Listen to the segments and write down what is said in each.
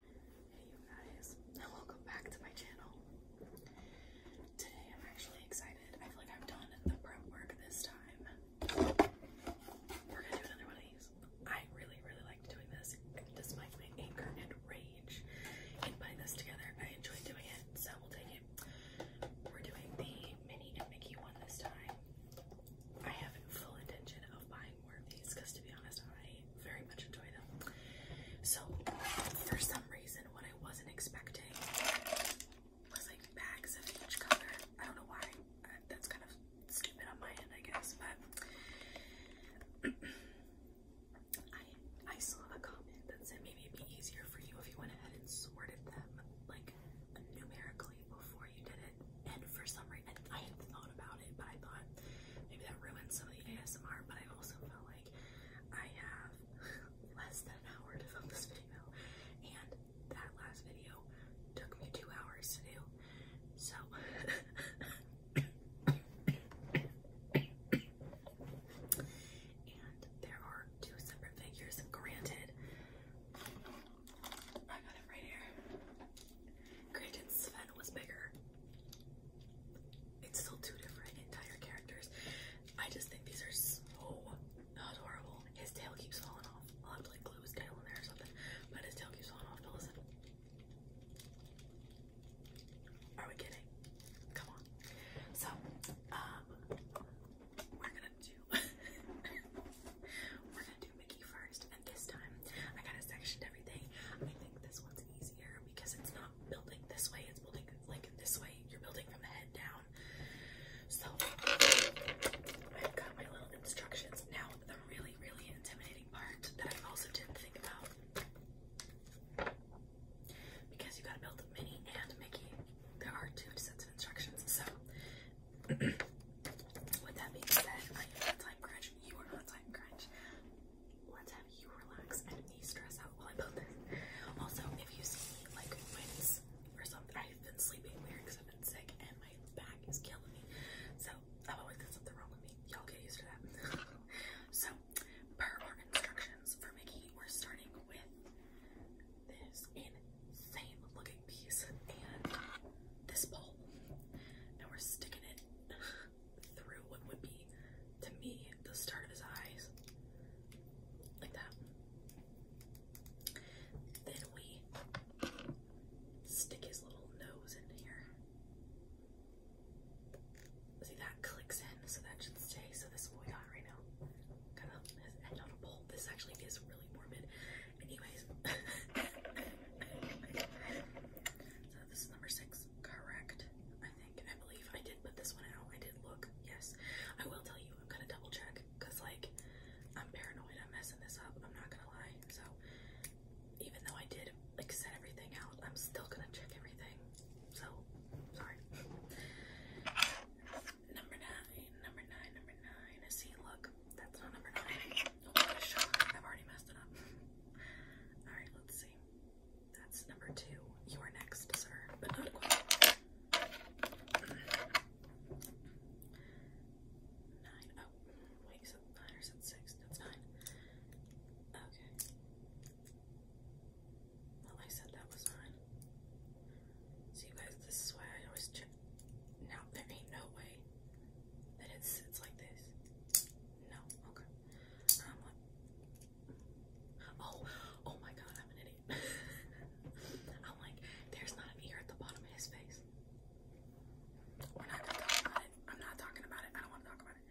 Hey you guys, welcome back to my channel. Today I'm actually excited. I feel like I've done the prep work this time. We're gonna do another one of these. I really, really like doing this despite my anger and rage in putting this together. I enjoy doing it, so we'll take it. We're doing the Minnie and Mickey one this time. I have full intention of buying more of because to be honest, I very much enjoy them. So for some reason, what I wasn't expecting was like bags of each color. I don't know why. Uh, that's kind of stupid on my end, I guess. But I I saw a comment that said maybe it'd be easier for you if you went ahead and sorted them like numerically before you did it. And for some reason, I had thought about but I thought maybe that ruined some of the ASMR. But I also felt like I have less than an hour to film this video, and that last video took me two hours to do. So. and there are two separate figures, granted. I got it right here. Granted, Sven was bigger. It's still two different entire characters. I just think these are so adorable. His tail keeps falling off. I'll have to like glue his tail in there or something. But his tail keeps falling off listen. Are we kidding? Come on. So, um, we're gonna do, we're gonna do Mickey first this time I kind of sectioned everything. I think this one's easier because it's not building this way, it's building like this way. You're building from the head down. So I've got my little instructions. Now the really, really intimidating part that I also didn't think about. Because you gotta build Minnie and Mickey. There are two sets of instructions. So with that being said, I am time crunch. You are on time crunch. Let's have you relax and me stress out while I build this. Also, if you see me like wince or something, I've been sleeping weird because I've been sick and my back is killing me. So I've always got something wrong with me. Y'all get used to that. so per our instructions for Mickey, we're starting with this insane looking piece and this pole. Now we're sticking it through what would be, to me, the start of his eyes. Like that. Then we stick his little nose in here. See, that clicks in, so that should stay. So this is got right now. This actually is really morbid. Anyways. this is number six. Correct. I think. I believe I did put this one out. I did look. Yes. I will tell you. I'm gonna double check because like I'm paranoid. I'm messing this up. I'm not gonna lie. So even though I did like set everything out, I'm still gonna check everything. So sorry. number nine. Number nine. Number nine. See, look. That's not number nine. Oh, I've already messed it up. Alright, let's see. That's number two. You are next, sir, but not quite. Nine. Oh, wait, is nine or six? That's nine. Okay. Well, I said that was nine. So, you guys, this is why I always check. Now, there ain't no way that it sits like this. No, okay oh, oh my god, I'm an idiot. I'm like, there's not an ear at the bottom of his face. We're not gonna talk about it. I'm not talking about it. I don't want to talk about it.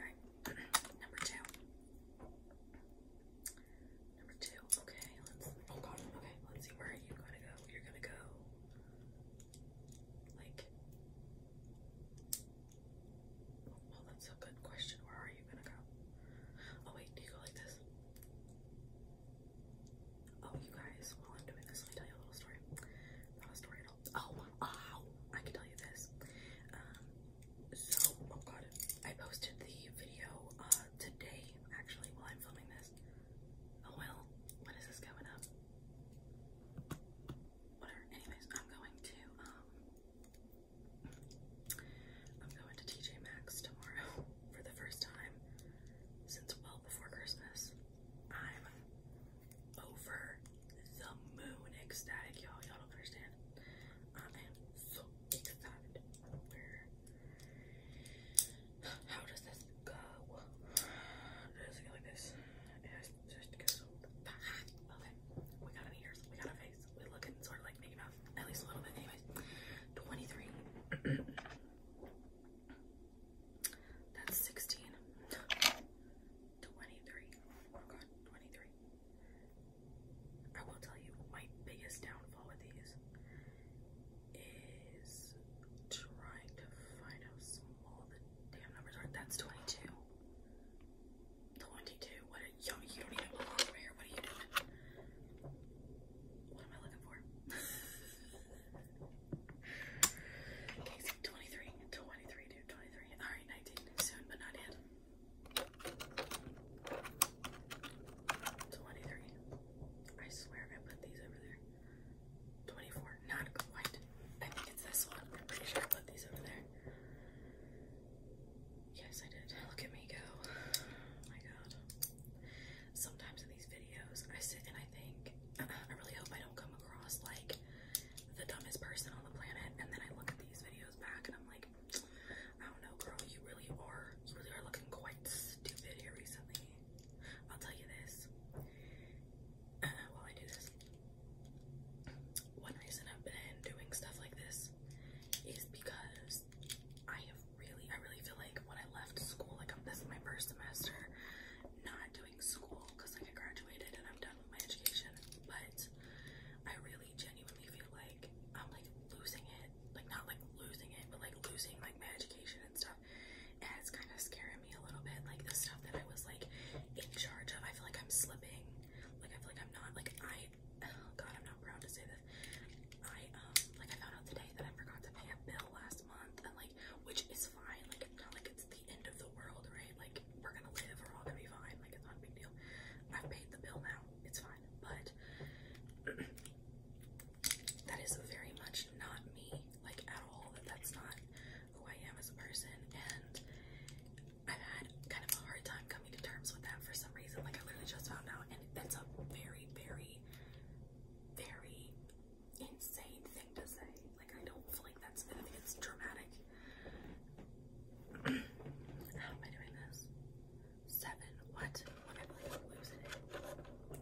Alright, number two. Number two. Okay, let's. Oh god. Okay, let's see. Where are gonna go? You're gonna go. Like, well, that's a good question. Where are you gonna go? Oh, wait, do you go like this? Oh, you guys, while I'm doing this, let me tell you a little story. Not a story at all. Oh, oh, I can tell you this. Um, so, oh god, I posted the video uh, today, actually, while I'm filming this. Oh well, when is this going up? whatever. Anyways, I'm going to um I'm going to TJ Maxx tomorrow for the first time since well before Christmas. I'm over the moon ecstatic, y'all. Y'all don't understand. I am so excited. Where how does this go? Does it go like this? It we got ears. We got a face. We look at sort of like Mickey Mouse. At least a little bit. Anyways. 23. That's 16. 23. 23. I will tell you my biggest downfall with these is trying to find how small Damn numbers are that's 22. 22. What are you doing over here. What are you doing? What am I looking for? okay, see, 23. 23, dude. 23. Alright, 19. Soon, but not yet. 23. I swear I put these over there. 24, not good I think it's this one. I'm pretty sure I put these over there. Yes, I did. Look at me go. my god. Sometimes in these videos, I sit and I think, uh, I really hope I don't come across like the dumbest person on the planet. And then I look at these videos back and I'm like, I don't know, girl, you really are, you really are looking quite stupid here recently. I'll tell you this uh, while I do this. One reason I've been doing stuff like this is because I have really, I really feel like when I left school, like I'm, this is my first semester not doing school because like I graduated and I'm done with my education, but I really genuinely feel like I'm like losing it, like not like losing it, but like losing like my education and stuff, and it's kind of scaring a little bit. Like the stuff that I was like in charge of. I feel like I'm slipping. Like I feel like I'm not like I oh, god, I'm not proud to say this. I um like I found out today that I forgot to pay a bill last month and like which is fine. Like it's not like it's the end of the world, right? Like we're gonna live, we're all gonna be fine, like it's not a big deal. I've paid the bill now, it's fine. But that is very much not me, like at all. That's not who I am as a person, and I've had kind of a hard time coming to terms with that for some reason. Like I literally just found out, and that's a very, very, very insane thing to say. Like I don't feel like that's. dramatic. How am I doing this? Seven. What?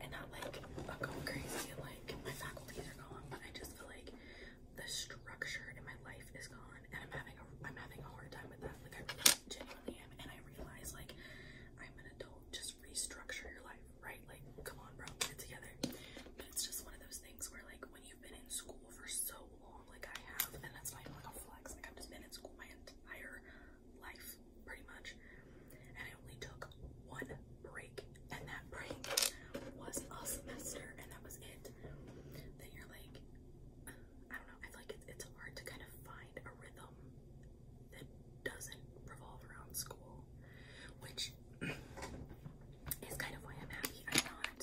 And not like oh, going crazy like my faculties are gone, but I just feel like the structure in my life is gone, and I'm having a I'm having a hard time with that. Like I really genuinely am, and I realize like I'm an adult. Just restructure your life, right? Like come on, bro, get together. But it's just one of those things where like when you've been in school for so long, like I have, and that's not like a flex. Like I've just been in school my entire life, pretty much, and I only took one break, and that break was a semester, and that was it. Then you're like, I don't know. I feel like it's, hard to kind of find a rhythm that doesn't revolve around school, which is kind of why I'm happy I'm not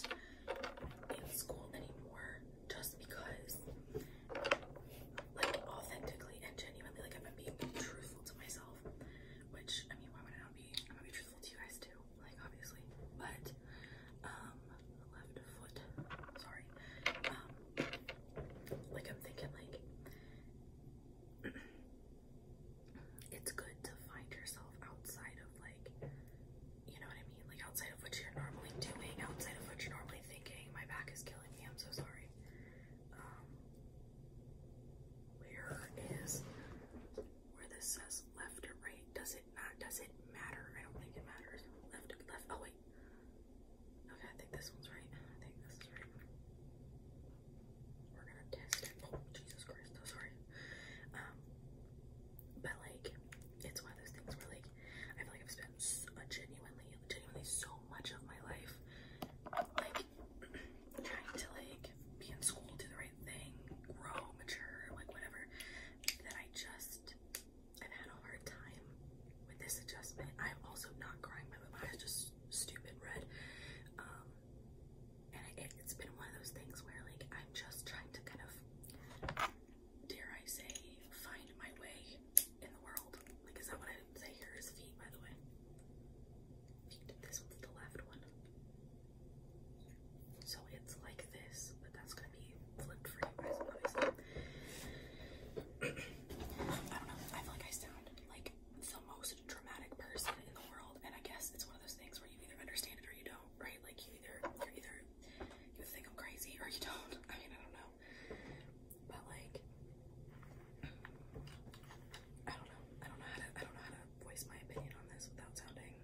in school anymore, just because, like, authentically and genuinely, like, I'm being truthful to myself. Which I mean, why would I not be? i be to you guys too, like obviously. But um left foot, sorry. Um, like I'm thinking like it's good to find yourself outside of like you know what I mean? Like outside of what you're normally doing, outside of what you're normally thinking. My back is killing me, I'm so sorry. Um, where is where this says left or right. Does it not? Does it matter? I don't think it matters. Left, left. Oh wait. Okay, I think this one's right. I think this is right. We're gonna test it. Oh Jesus Christ! No, sorry. Um, but like, it's one of those things where like, I feel like I've spent genuinely, genuinely so much of my life trying to like be in school, do the right thing, grow, mature, like whatever, that I just I've had a hard time with this adjustment. I'm also not crying my eyes just stupid red. Um and it's been one of those things where like I'm just trying to kind of dare I say find my way in the world. Like is that what I say? Here is feet by the way. This one's the left one. So it's like this, but that's gonna be flipped for you guys, obviously. I don't know. I feel like I sound like the most dramatic person in the world, and I guess it's one of those things where you either understand it or you don't, right? Like you either you either you think I'm crazy or you don't. I mean, I don't know. But like I don't know. I don't know how to I don't know how to voice my opinion on this without sounding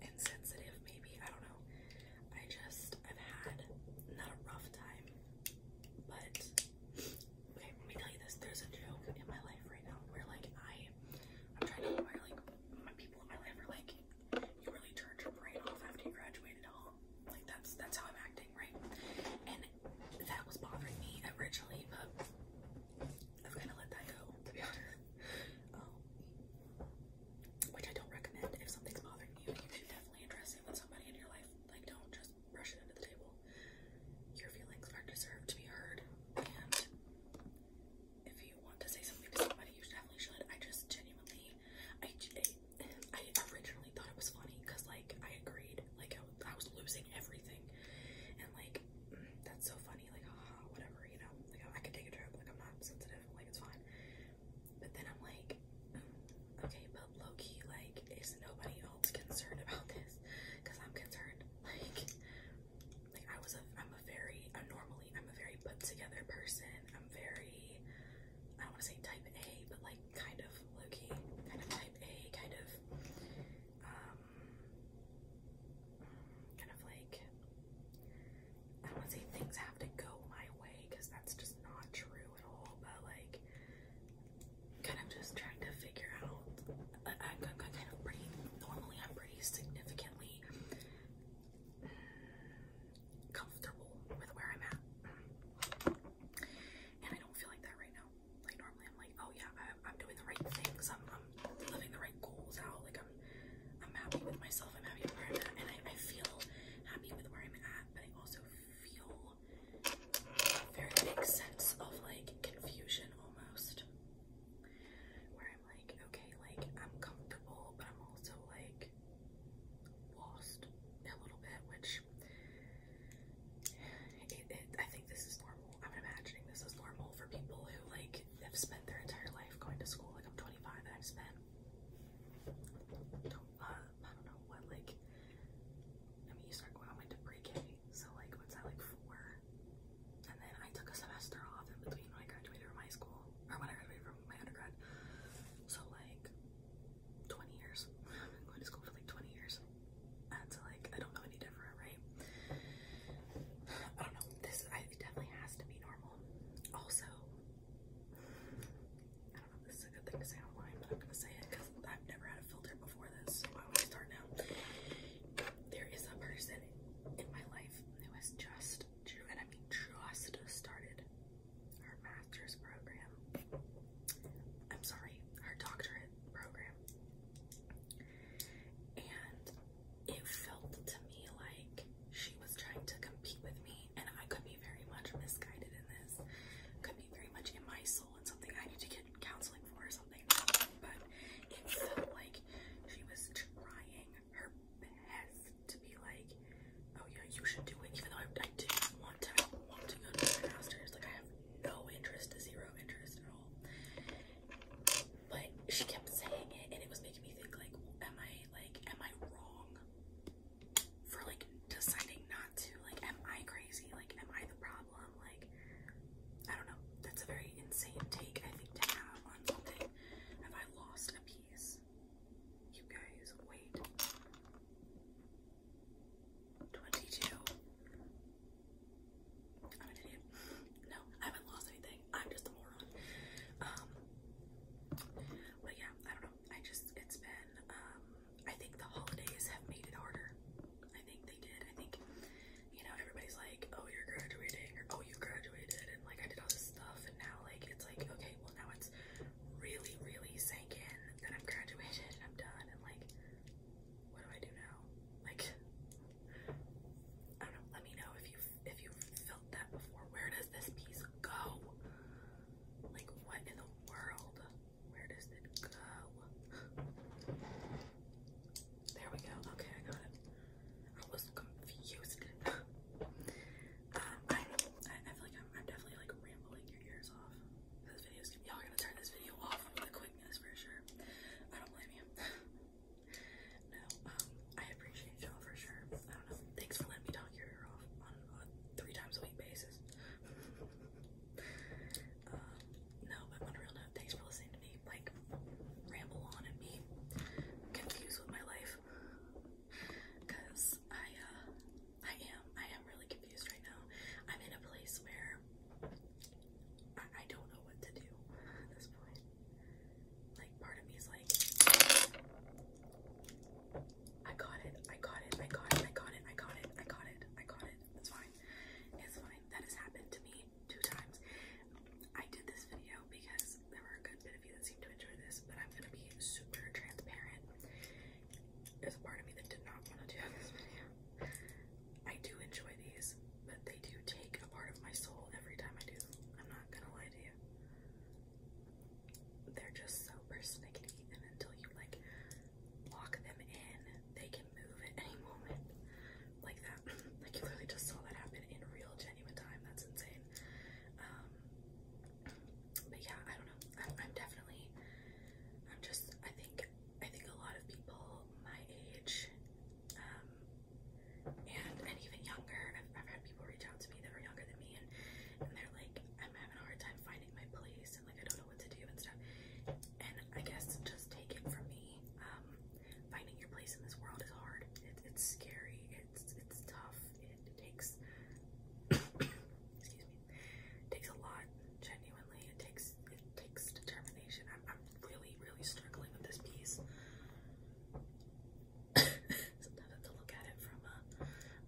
insensitive, maybe. I don't know. I just, I've had not a rough time, but okay, let me tell you this. There's a joke in my life right now where, like, I, I'm trying to where, like, my people in my life are like, you really turned your brain off after you graduated at Like, that's, that's how I'm acting, right? that was bothering me originally, but I've kind of let that go, to be honest. Um, which I don't recommend. If something's bothering you, you should definitely address it with somebody in your life. Like, don't just brush it under the table. Your feelings are deserved to be heard, and if you want to say something to somebody, you definitely should. I just genuinely, I, I, I originally genuinely thought it was funny because like I agreed like I, was losing everything and like mm, that's so funny like haha whatever you know like I, can take a trip like I'm not sensitive like it's fine but then I'm like mm, okay but low-key like is nobody else concerned about this because I'm concerned like like I was a I'm a very normally I'm a very put together person I'm very I don't want to say type A but like kind of low-key kind of type. A kind of um, kind of like I don't want to say things have to go my way because that's just not true at all, but like kind of just trying to figure out I, am kind of pretty normally I'm pretty significantly comfortable with where I'm at. And I don't feel like that right like normally, I'm like, oh yeah, I, am doing the right things. I'm, living the right goals out. Like I'm, I'm happy with myself. I'm happy with where I'm at, and I, I feel happy with where I'm at. But I also feel a very big sense of like confusion almost, where I'm like, okay, like I'm comfortable, but I'm also like lost a little bit, which I think this is normal. I'm imagining this is normal for people who like have spent their entire life going to school. Like I'm 25 and I've spent uh, I don't know what like. I mean, you start going. to pre-K, so like what's that like four? And then I took a semester off in between when I graduated from high school or when I graduated from my undergrad. So like 20 years. i am going to school for like 20 years. And like, I don't know any different, right? I don't know. This I, definitely has to be normal. Also, I don't know this is a good thing to say online, but I'm gonna say it because I've never had a filter before this, so why would I start now? There is a person in my life who has just, and I mean just started her master's program. I'm sorry, her doctorate program. And it felt to me like she was trying to compete with me, and I could be very much misguided in this, could be very much in my soul and something I need to get counseling for or something. But it like she was trying her best to be like, oh yeah, you should do it, even though I, didn't want to, want to go to Like I have no interest, zero interest at all. But she kept saying it, and it was making me think like, am I like, am I wrong for like deciding not to? Like, am I crazy? Like, am I the problem? Like, I don't know. That's a very insane take I think to have on something. Have I lost a piece? You guys, wait. 22. I'm an idiot. No, I haven't lost anything. I'm just a moron. Um, but yeah, I don't know. I just, it's been, um, I think the holidays have made it harder. I think they did. I think, you know, everybody's like, oh, you're graduating, or oh, you graduated, and like I did all this stuff, and now like it's like, okay, well, now it's really, really sank in that I'm graduated I'm done, and like, what do I do now? Like, I don't know. Let me know if you if you felt that before. Where does this piece go? Like, what in the world? Where does it go? There we go. Okay, I I was confused. Um, I, I feel like I'm, I'm definitely like rambling your ears off video's going y'all gonna turn this video off with a quickness for sure. I don't blame you. no, um, I appreciate y'all for sure. I don't know. Thanks for letting me talk your ear off on a three times a week basis. Uh, no, but on real note, thanks for listening to me like ramble on and be confused with my life. I uh, I am. I am really confused right now. I'm in a place where I, don't know what to do at this point. Like, part of me is like, I got it. I got it. I got it. I got it. I got it. I got it. I got it. It's fine. It's fine. That has happened to me two times. I did this video because there were a good bit of you that seemed to enjoy this, but I'm gonna be super transparent there's a part of me that did not want to do this video. I do enjoy these, but they do take a part of my soul every time I do them. I'm not gonna lie to you. They're just so persnickety, and until you like lock them in, they can move at any moment. Like that. like you literally just saw that happen in real, genuine time. That's insane. Um, but yeah, I don't know. I'm definitely I'm just I think I think a lot of people my age um, and and even younger I've, I've had people reach out to me that are younger than me and and they're like I'm having a hard time finding my place and like I don't know what to do and stuff and I guess just take it from me um, finding your place in this world is hard it's scary it's it's tough it, it takes excuse me takes a lot genuinely it takes it takes determination. I'm, really, really struggling with this piece. Sometimes I have look at it from a, uh,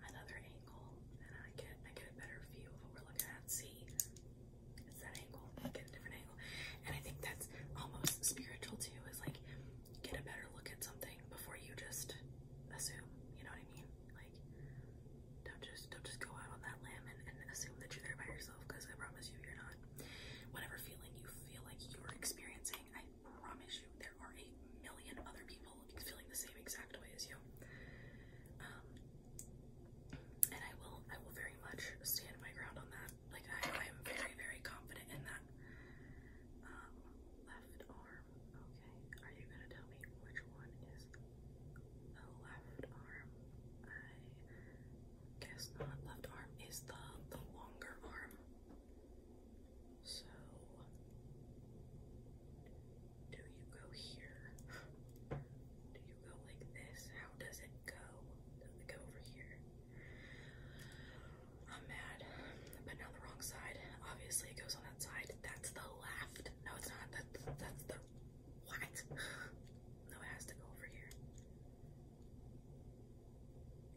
another angle, and I get I get a better view of what we're looking at. See, it's that angle. I get a different angle, and I think that's almost spiritual too. Is like get a better look at something before you just assume. You know what I mean? Like don't just don't just go out on that limb and, assume that you're there by yourself because I promise you you're not. Whatever feeling you feel like you're experiencing, I promise you there are a million other people feeling the same exact way as you. Um, and I will I will very much stand my ground on that. Like I, am very, very confident in that. Um, left arm. Okay. Are you gonna tell me which one is the oh, left arm. I guess not. Left arm is the the longer arm. So do you go here? Do you go like this? How does it go? go over here? I'm mad. But now the wrong side. Obviously it goes on that side. That's the left. No, it's not. That's that's the what? No, it has to go over here.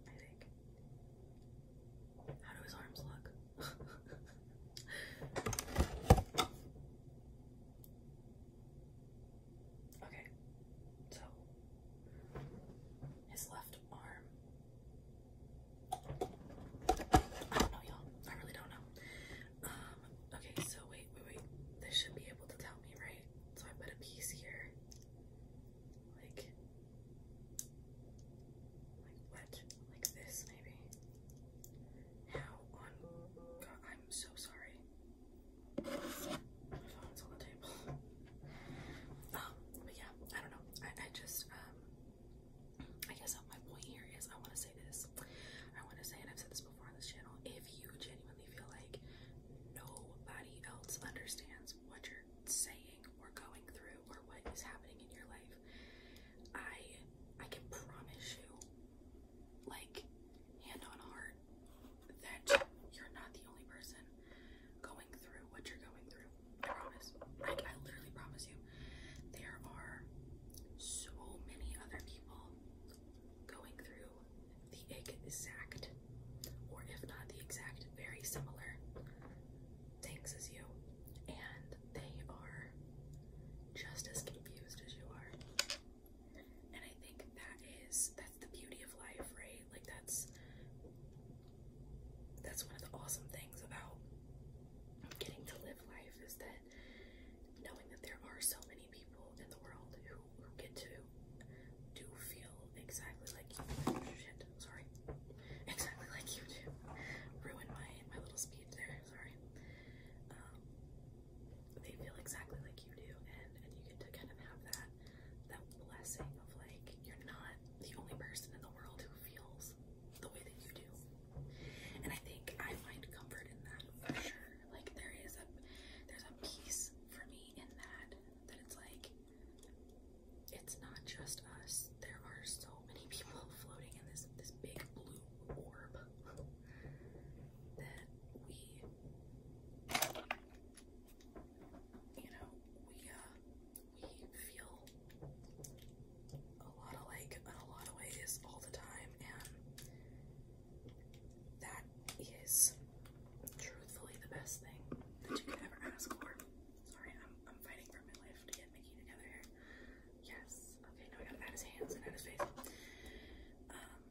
I think. How do his arms look? okay, so his left arm. I don't know, y'all. I really don't know. Um, okay, so wait, wait, wait. This should be able to tell me, right? So I put a piece here. Like, like what? Like this, maybe? How on God, I'm so sorry. phone's on the table. Um, but yeah, I don't know. I, I just, um, I guess my point here is I want to say this. I want to say, and I've said this before on this channel, if you genuinely feel like nobody else understands what you're saying or going through or what is happening in your life, I I can promise you, like hand on heart, that you're not the only person going through what you're going through. I promise. I literally promise you. There are so many other people people going through the exact, or if not the exact, very similar things as you, and they are just as confused as you are. And I think that is that's the beauty of life, right? Like that's that's one of the awesome things about getting to live life is that knowing that there are so many people in the world who, get to do feel exactly like you sorry. Exactly like you do. Ruin my my little speed there, sorry. Um, they feel exactly like you do and, and you get to kind of have that that blessing of like you're not the only person in the world who feels the way that you do. And I think I find comfort in that for sure. Like there is a there's a peace for me in that that it's like it's not just us. There are so many people floating in this this big blue orb that we you know, we uh we feel a lot of like in a lot of ways all the time and that is truthfully the best thing that you could ever ask for. Sorry, I'm I'm fighting for my life to get Mickey together here. Yes. Okay, now I gotta add his hands and add his face. Um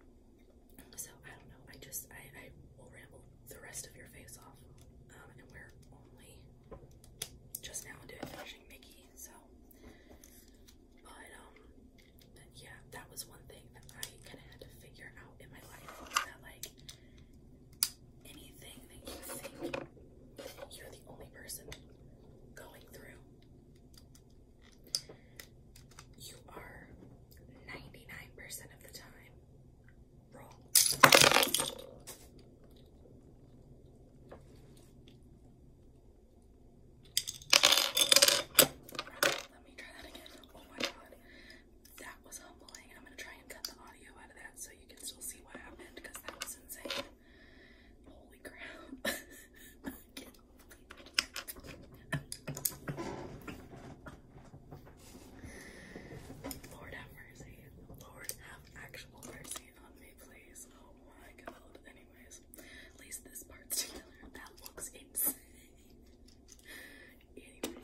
so I don't know, I just I, I will ramble the rest of your face off. Um and we're only just now doing finishing Mickey, so but um, yeah, that was one thing that I kind of had to figure out in my life that like anything that you think you're the only person going through, you are 99% of the time wrong. Let me try that again. Oh my god. That was humbling. I'm gonna try and cut the audio out of that so you can still see what happened because that was insane. Holy crap. Lord have mercy. Lord have actual mercy on me, please. Oh my god anyways. At least this part's together. That looks insane. anyway.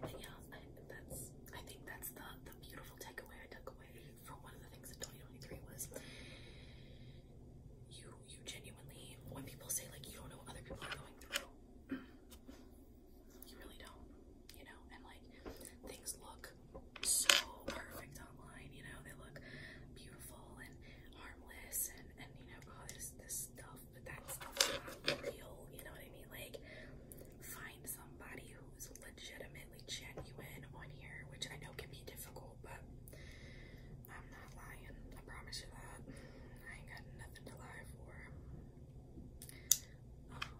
But yeah, I, that's, I think that's the, the beautiful takeaway I took away from one of the things in 2023 was you, you genuinely, when people say like, you don't know what other people are going through, you really don't, you know, and like, things look so perfect online, you know, they look beautiful and harmless and, and you know, all oh, this stuff, but that's not real, you know what I mean? Like, find somebody who's legitimately genuine on here, which I know can be difficult, but I'm not lying. I promise you that. I ain't got nothing to lie for. Um,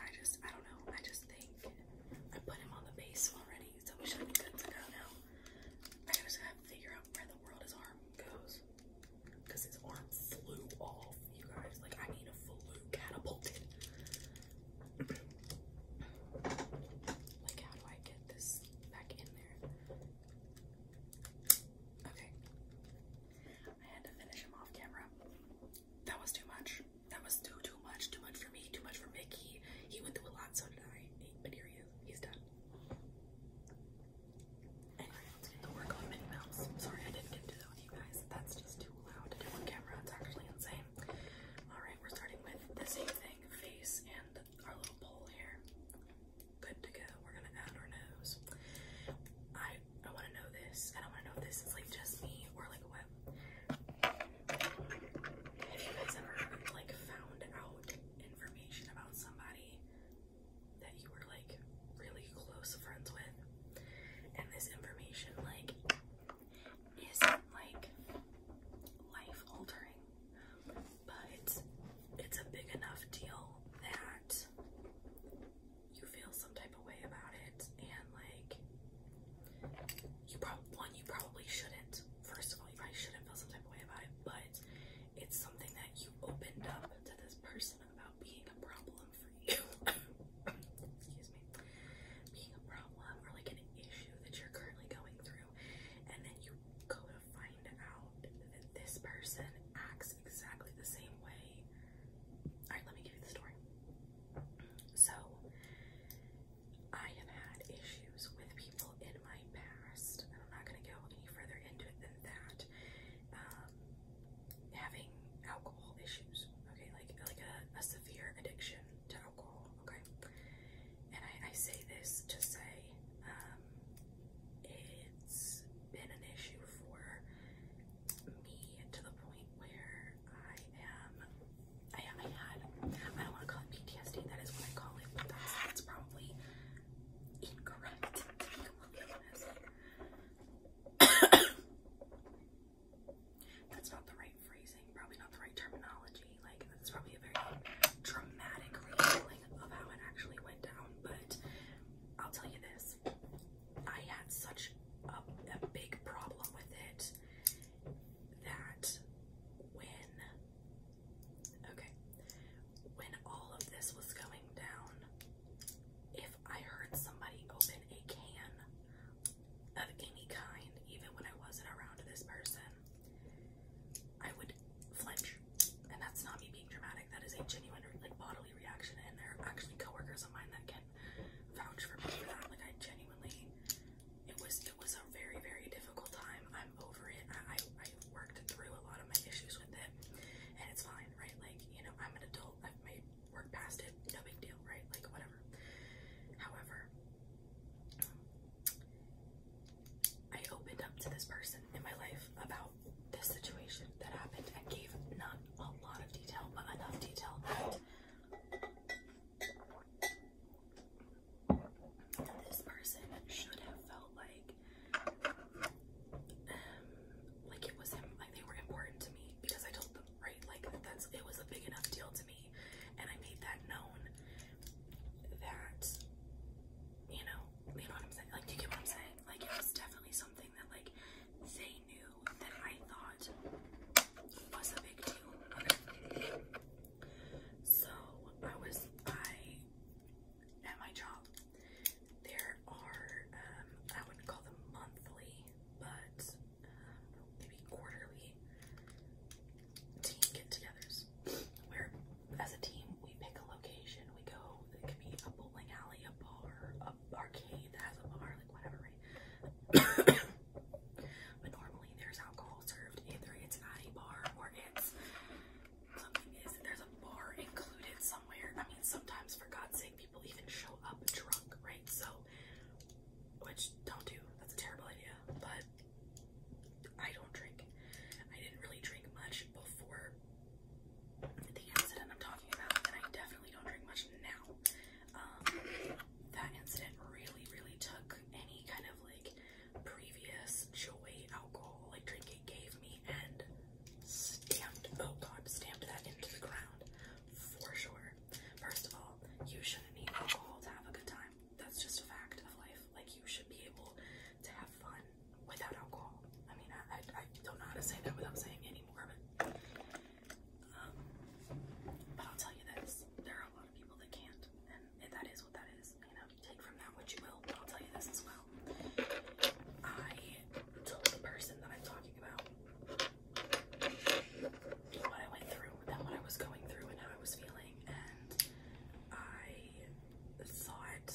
I just, I don't know. I just think I put him on the base already, so we should be good to go now. I just gotta figure out where the world his arm goes. Because his arm flew off, you guys. Like, I need a flew catapulted. like, how do I get this back in there? Okay. I had to finish him off camera that was too much. That was too, too much. Too much for me. Too much for Mickey. He went through a lot, so did I. But here he is. He's done. Anyway, let's get to work on Minnie Mouse. Sorry I didn't get to that with you guys. That's just too loud on camera. It's actually insane. Alright, we're starting with the same thing. Face and our little bowl here. Good to go. We're gonna add our nose. I I wanna know this. I don't wanna know this is like just me or like what if you guys ever like found out information about somebody that you were like really close friends with, and this information like isn't like life altering, but it's it's a big enough deal that you feel some type way about it, and like you probably one you probably shouldn't. First of all, you probably shouldn't feel some type of way about it, but it's something that you opened up to this person about being a problem for you. Excuse me, being a problem or like an issue that you're currently going through, and then you go to find out that this person acts exactly the same way. All right, let me give you the story. So I have had issues with people in my past, and I'm not going to go any further into it than that. Um, having alcohol issues, okay, like like a, a severe addiction to alcohol, okay. And I, I say this to say um, it's been an issue for me to the point where I am, I, had, I don't want to call it PTSD, that is what I call it, but that's, probably incorrect, that's not the right phrasing, probably not the right terminology, like, that's probably a very dramatic retelling of how it actually went down, but I'll tell you this, I had such a, a big problem with it that when okay when all of this was going down if I heard somebody open a can of any kind even when I wasn't around this person I would flinch and that's not me being dramatic that is a genuine like bodily reaction and there are actually coworkers of mine that can vouch for me for that. Like I genuinely, it was it was a very very difficult time. I'm over it. I I, worked through a lot of my issues with it, and it's fine, right? Like you know, I'm an adult. I've made work past it. No big deal, right? Like whatever. However, I opened up to this person in my life about this situation that happened and gave not a lot of detail, but enough detail that this person should have felt like, um, like it was him, like they were important to me because I told them, right? Like that's it was a big enough deal to me, and I made that known. That, you know, you know what I'm saying. Like, do you get what I'm saying? Like, it was definitely something that like they knew that I thought was a big deal. So I was at my job. There are um, I wouldn't call them monthly, but um, maybe quarterly team get-togethers where, as a team, we pick a location. We go. It could be a bowling alley, a bar, a arcade that has a bar, like whatever, but normally there's alcohol served. Either it's at a bar or it's something is there's a bar included somewhere. I mean sometimes for God's sake people even show up drunk, right? So which don't do. That's a terrible idea. But I don't drink. I didn't really drink much before the incident I'm talking about, and I definitely don't drink much now. Um, that incident really, really took any kind of like previous joy alcohol like drinking gave me and stamped, oh god, stamped that into the ground for sure. First of all, you shouldn't need alcohol to have a good time. That's just a fact of life. Like you should be able to have fun without alcohol. I mean, I, I, I don't know how to say that without saying any more of it. Um, but I'll tell you this, there are a lot of people that can't, and that is what that is. You know, take from that what you will, I'll tell you this as well. I told the person that I'm talking about what I went through and what I was going through and how I was feeling, and I thought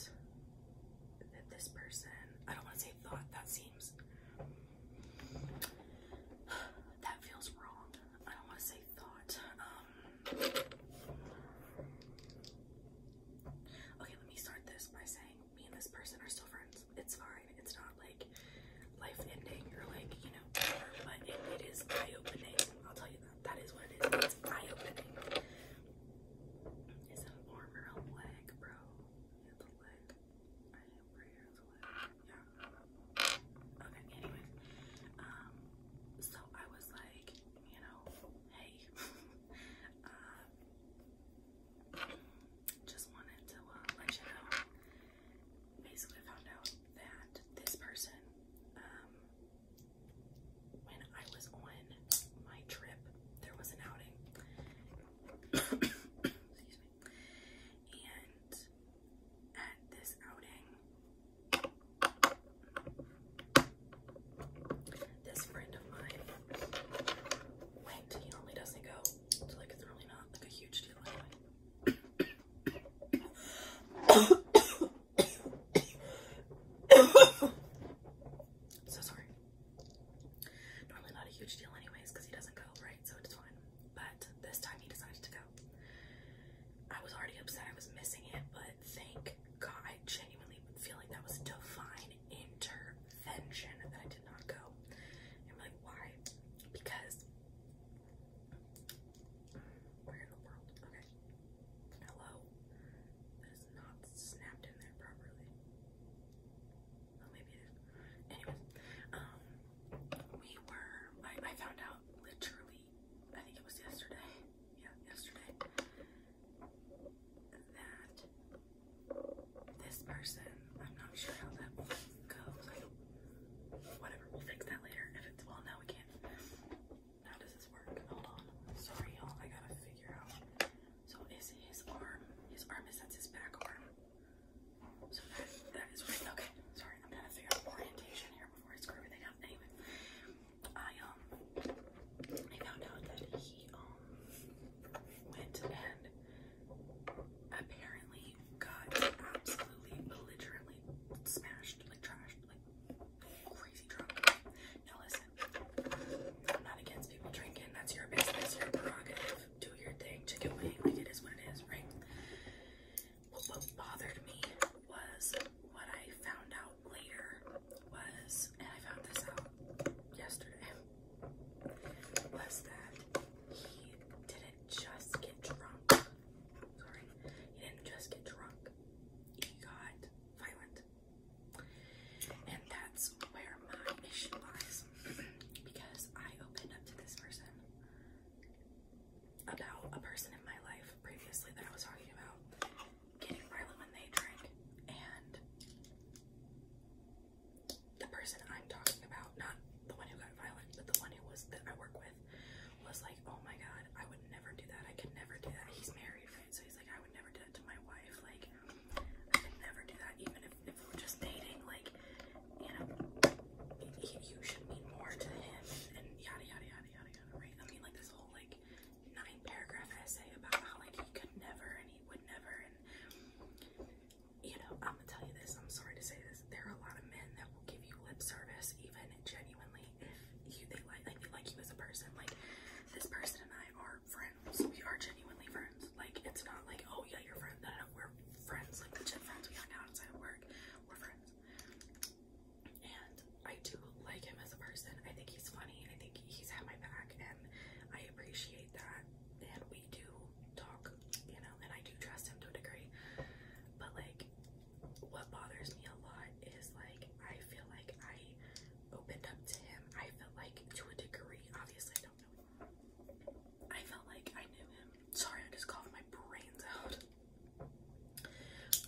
that this person, I don't want to say thought, that seems that feels wrong. I don't want to say thought. Um, okay, let me start this by saying me and this person are still friends. It's fine. It's not like life ending or like, you know, but it is eye opening. I'll tell you that. That is what it is. It's eye opening. Is an arm or a leg, bro? Okay, anyways. Um, so I was like, you know, hey, um, just wanted to let you know. Basically, I found out that this person, um, when I was on my trip, there was an outing. Excuse me. And at this outing, this friend of mine went. He normally doesn't go, so like it's really not like a huge deal so sorry. Normally not a huge deal anyways because he doesn't go, right? So it's fine. But this time he decided to go. I was already upset I was missing it, but thank God I genuinely feel like that was divine intervention that I did not go. I'm like, why? Because where in the world? Okay. Hello. That is not snapped in there properly. Oh, maybe it is. Anyways, um, we were, I, found out literally, I think it was yesterday, yeah, yesterday, that this person, I'm not sure how that goes, whatever, we'll fix that later, if it's, well, now we can't, how does this work, hold on, sorry y'all, I gotta figure out, so is his arm, his arm is, that's his back arm, so that, that is right. Okay, sorry, I'm trying to figure orientation here before I screw everything up. Anyway, I um I found out that he um went and apparently got absolutely belligerently smashed, like trashed, like crazy drunk. Now listen, I'm not against people drinking. That's your prerogative do your thing, check it away, like it is what it is, right? But what bothered me was what I found out later was, and I found this out yesterday, was that he didn't just get drunk. Sorry, he didn't just get drunk. He got violent. And that's where my issue lies. because I opened up to this person about a person in my life previously that I was talking about getting my lemonade drink, and the person I'm talking about, not the one who got violent, but the one who was that I work with, was like, "Oh my god, I would never do that. I could never do that." He's married, right? So he's like, "I would never do that to my wife. Like, I could never do that, even if if, we're just dating, like, you know, you, should mean more to him and, yada yada yada yada yada, right? I mean, like this whole like nine paragraph essay about how like he could never and he would never, and you know, I'm gonna tell you this. I'm sorry to say this. There are a lot of men that will give you lip service, even genuinely, if you they like they like you as a person. Like this person and I are friends. We are genuinely friends. Like it's not like oh yeah, you're friend. Da, know, we're friends, like the gym friends we hung out outside of work. We're friends. And I do like him as a person. I think he's funny. I think he's had my back and I appreciate that. And we do talk, you know, and I do trust him to a degree. But like what bothers me a lot is like I feel like I opened up to him. I felt like to a degree, obviously I I felt like I knew him. Sorry, I just coughed my brains out.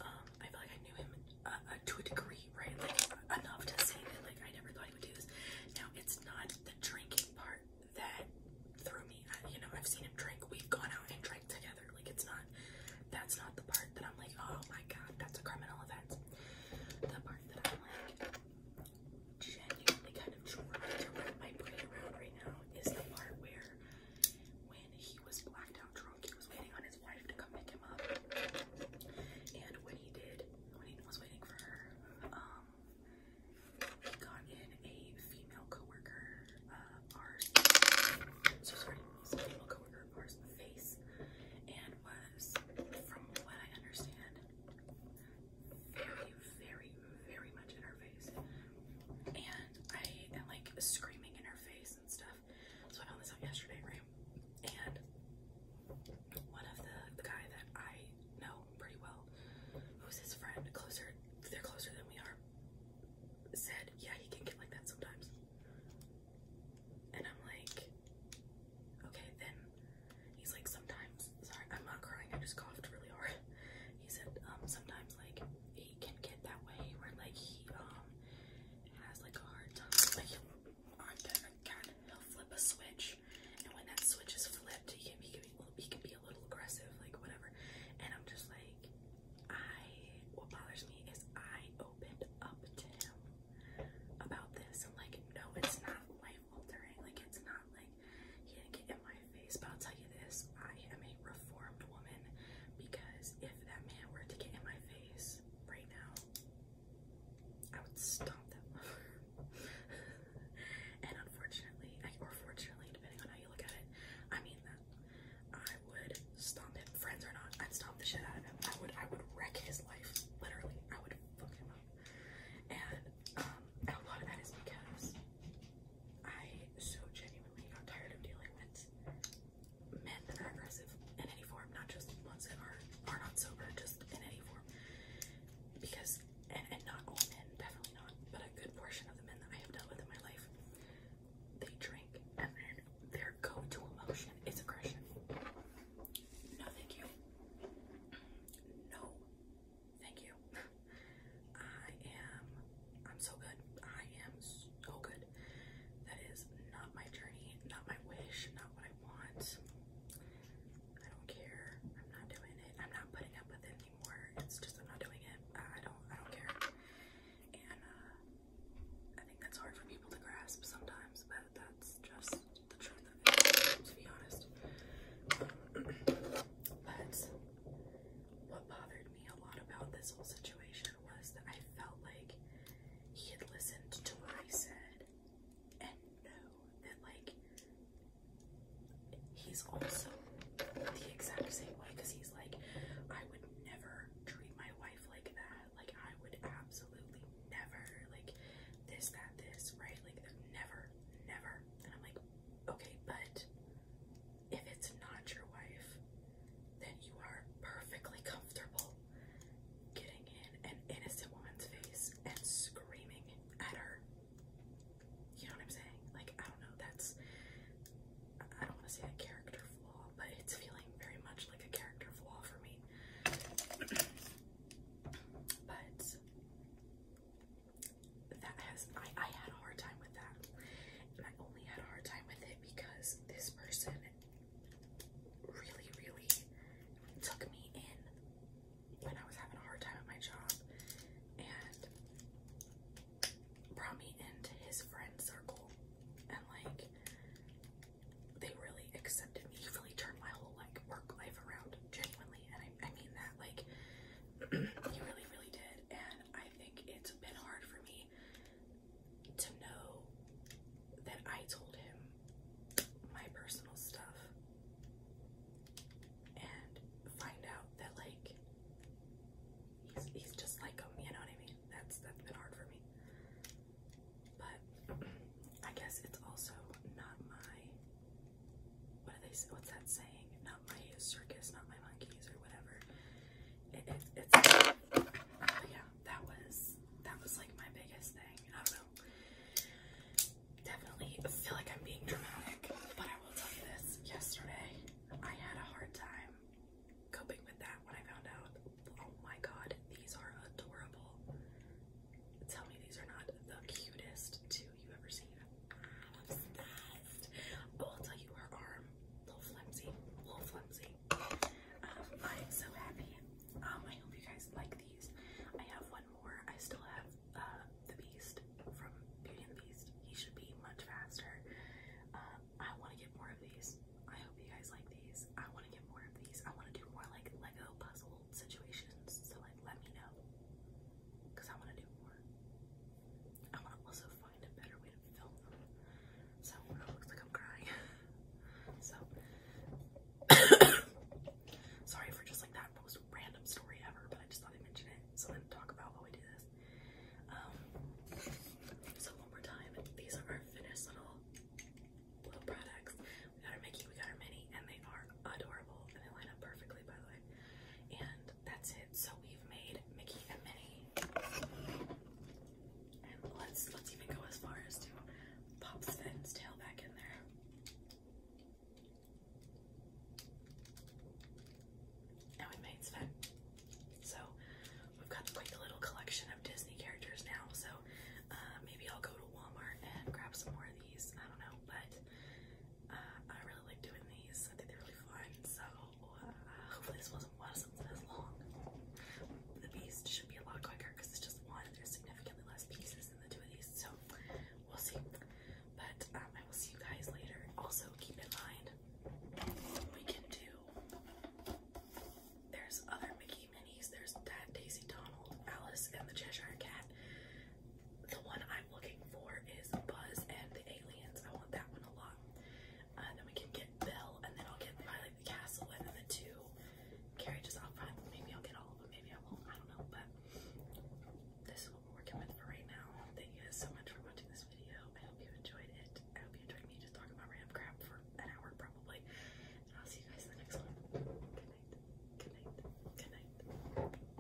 Um, I felt like I knew him uh, uh, to a degree, right? Like enough to say that like I never thought he would do this. Now it's not the drinking part that threw me. Uh, you know, I've seen him drink. We've gone out and drank together. Like it's not. That's not the part that I'm like, oh my god, that's a criminal offense. The part that I'm like, genuinely kind of trying to wrap my brain around right now is the part where when he was blacked out drunk, he was waiting on his wife to come pick him up. And when he did, when he was waiting for her, um, he got in a female coworker, uh, ours, so sorry, a female coworker of ours in the face, and was, from what I understand, very, very, very much in her face. And I am like screaming in her face and stuff. So I found this out yesterday, right? And one of the, the guy that I know pretty well, who's his friend, closer, they're closer than we are, said, yeah, he can get like that sometimes. And I'm like, okay, then he's like, sometimes sorry, I'm not crying, I just coughed really hard. He said um, sometimes like he can get that way where like he um has like a hard time like on the kind he'll flip a switch and when that switch is flipped he can be he can be a little aggressive, like whatever. And I'm just like I what bothers me is I opened up to him about this. and like, no, it's not like like it's not like he didn't get in my face. But I'll tell you this, I am a reformed woman because if that man were to get in my face right now, I would stomp that and unfortunately, or fortunately, depending on how you look at it, I mean I would stomp him, friends or not, I'd stomp the shit out of him. I would I would wreck his life. Literally, I would fuck him up. And um, a lot of that is because I so genuinely got tired of dealing with men that are aggressive in any form, not just ones that are are not sober, just in any form. Because and, and not all men, definitely not, but a good portion of the men that I have dealt with in my life, they drink and their go-to emotion is aggression. No, thank you. No, Thank you. I am, I'm so good. I am so good. That is not my journey, not my wish, not what I want. I don't care. I'm not doing it. I'm not putting up with it anymore. It's just I'm not doing it. I don't, I don't care. And uh, I think that's hard for people to grasp sometimes, but that's just the truth of it, to be honest. Um, but what bothered me a lot about this whole situation was that I felt like he had listened to what I said and know that, like, he's also the exact same way because he's like, I would never treat my wife like that. Like, I would absolutely never, like, this, that, this, right? Like, never, never. And I'm like, Okay, but if it's not your wife, then you are perfectly comfortable getting in an innocent woman's face and screaming at her. You know what I'm saying? Like, I don't know, that's. I don't want to say a character flaw, but it's feeling very much like a character flaw for me. but that has I, I had a hard time with that. And I only had a hard time with it because this person really, really took me in when I was having a hard time at my job and brought me into his friend circle and like they really accepted me. He really turned my whole like work life around genuinely and I, I mean that like he really, really did. And I think it's been hard for me to know that I told him my personal stuff and find out that, like, he's, he's just like him, you know what I mean? That's That's been hard for me. But I guess it's also not my what do they? say? What's that saying? Not my circus, not my monkeys, or whatever. It, it, it's yeah. That was that was like my biggest thing. I don't know. Definitely feel like I'm being dramatic, but I will tell you this. Yesterday, I had a hard time coping with that when I found out. Oh my god, these are adorable. Tell me these are not the cutest two you ever seen. I'm obsessed. Oh, I'll tell you, her arm, little flimsy, little flimsy. Um, I am so happy. Um, I hope you guys like these. I have one more. I still have uh, the Beast from Beauty and Beast. He should be much faster. Uh, I want to get more of these. I hope you guys like these. I want to get more of these. I want to do more like Lego puzzle situations. So like, let me know, cause I want to do more. I want to also find a better way to film them. So it looks like I'm crying. so sorry for just like that most random story ever, but I just thought I'd mention it. So then talk about how I do this. Um, so one more time, these are our finished little products. We got our Mickey, we got our Minnie, and they are adorable and they line up perfectly by the way. And that's it. So we've made Mickey and Minnie. And let's let's even go as far as to pop Sven's tail back in there. Now we made Sven. So we've got quite a little collection of Disney characters now. So uh, maybe I'll go to Walmart and grab some more of these. I don't know, but I really like doing these. I think they're really fun. So uh, hopefully this wasn't was as long. The beast should be a lot quicker because it's just one. There's significantly less pieces than the two of these. So we'll see. But um, I will see you guys later. Also keep in mind we can do. There's other Mickey Minis. There's Dad, Daisy, Donald, Alice, and the Cheshire Cat. The one I'm looking for is Buzz and the Aliens. I want that one a lot. And uh, then we can get Belle, and then I'll get Violet the Castle, and then the two carriages out front. Maybe I'll get all of them, maybe I won't. I don't know, but this is what we're working with for right now. Thank you guys so much for watching this video. I hope you enjoyed it. I hope you enjoyed me just talking about random crap for an hour, probably. And I'll see you guys in the next one. Good night. Good night. Good night.